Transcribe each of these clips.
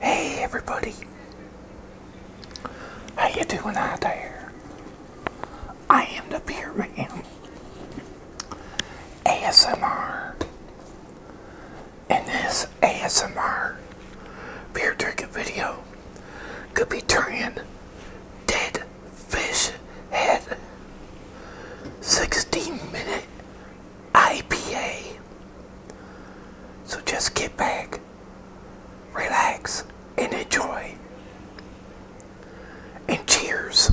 Hey everybody. How you doing out there? I am the beer man. ASMR. And this ASMR beer drinking video could be turning dead fish head 16 minute IPA so just get back, relax, and enjoy. And cheers.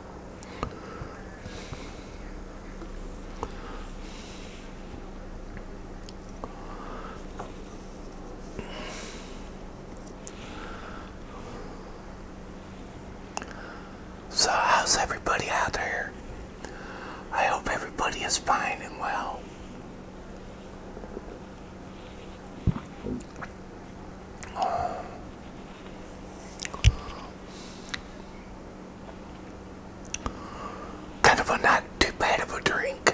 So, how's everybody out there? I hope everybody is fine and well. Oh. Kind of a not too bad of a drink.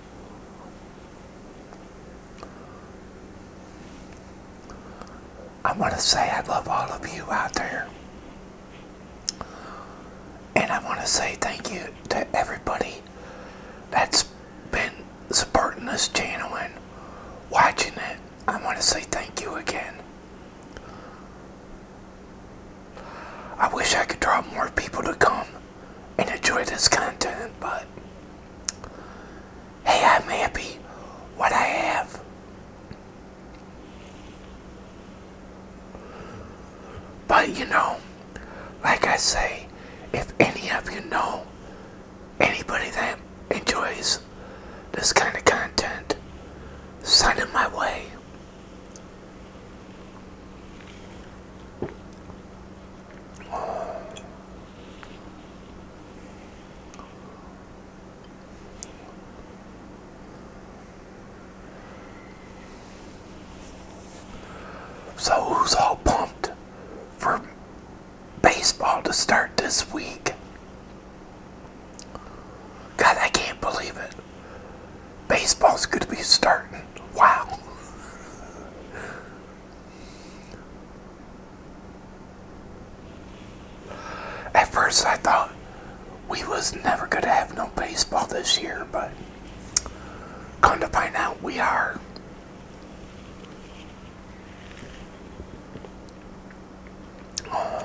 I want to say I love all of you out there. And I want to say thank you to everybody that's been supporting this channel and watching it. I want to say thank you again. I wish I could draw more people to come and enjoy this content, but hey, I'm happy what I have. But you know, like I say, if any of you know anybody that enjoys this kind of content, send it my way. So who's all pumped for baseball to start this week? God, I can't believe it. Baseball's going to be starting. Wow. At first I thought we was never going to have no baseball this year, but come to find out we are. Oh.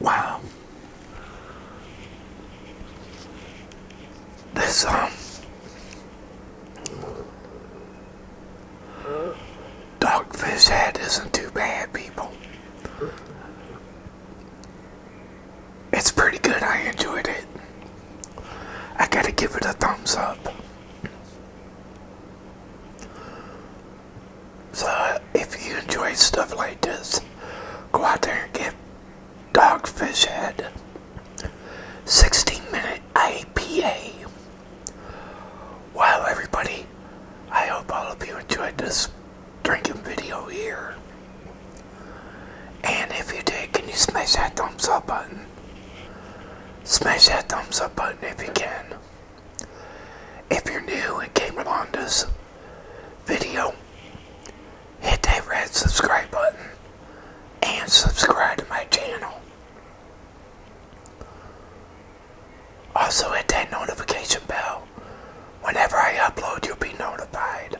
Wow. This, um, dogfish head isn't too bad, people. It's pretty good. I enjoyed it. I gotta give it a thumbs up. So if you enjoy stuff like this, go out there and get Dogfish Head 16 minute IPA. Wow, everybody, I hope all of you enjoyed this drinking video here. And if you did, can you smash that thumbs up button? Smash that thumbs up button if you can. If you're new and came along this video, hit that red subscribe button and subscribe to my channel. Also hit that notification bell. Whenever I upload, you'll be notified.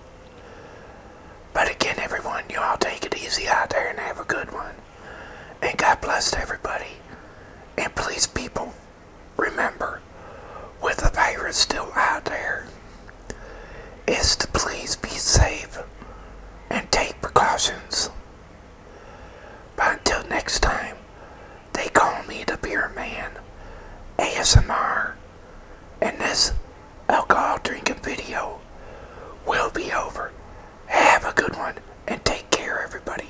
But again, everyone, you all take it easy out there and have a good one. And God bless everybody. And please, people remember, with the virus still out there, is to please be safe and take precautions. But until next time, they call me the Beer Man ASMR, and this alcohol drinking video will be over. Have a good one, and take care, everybody.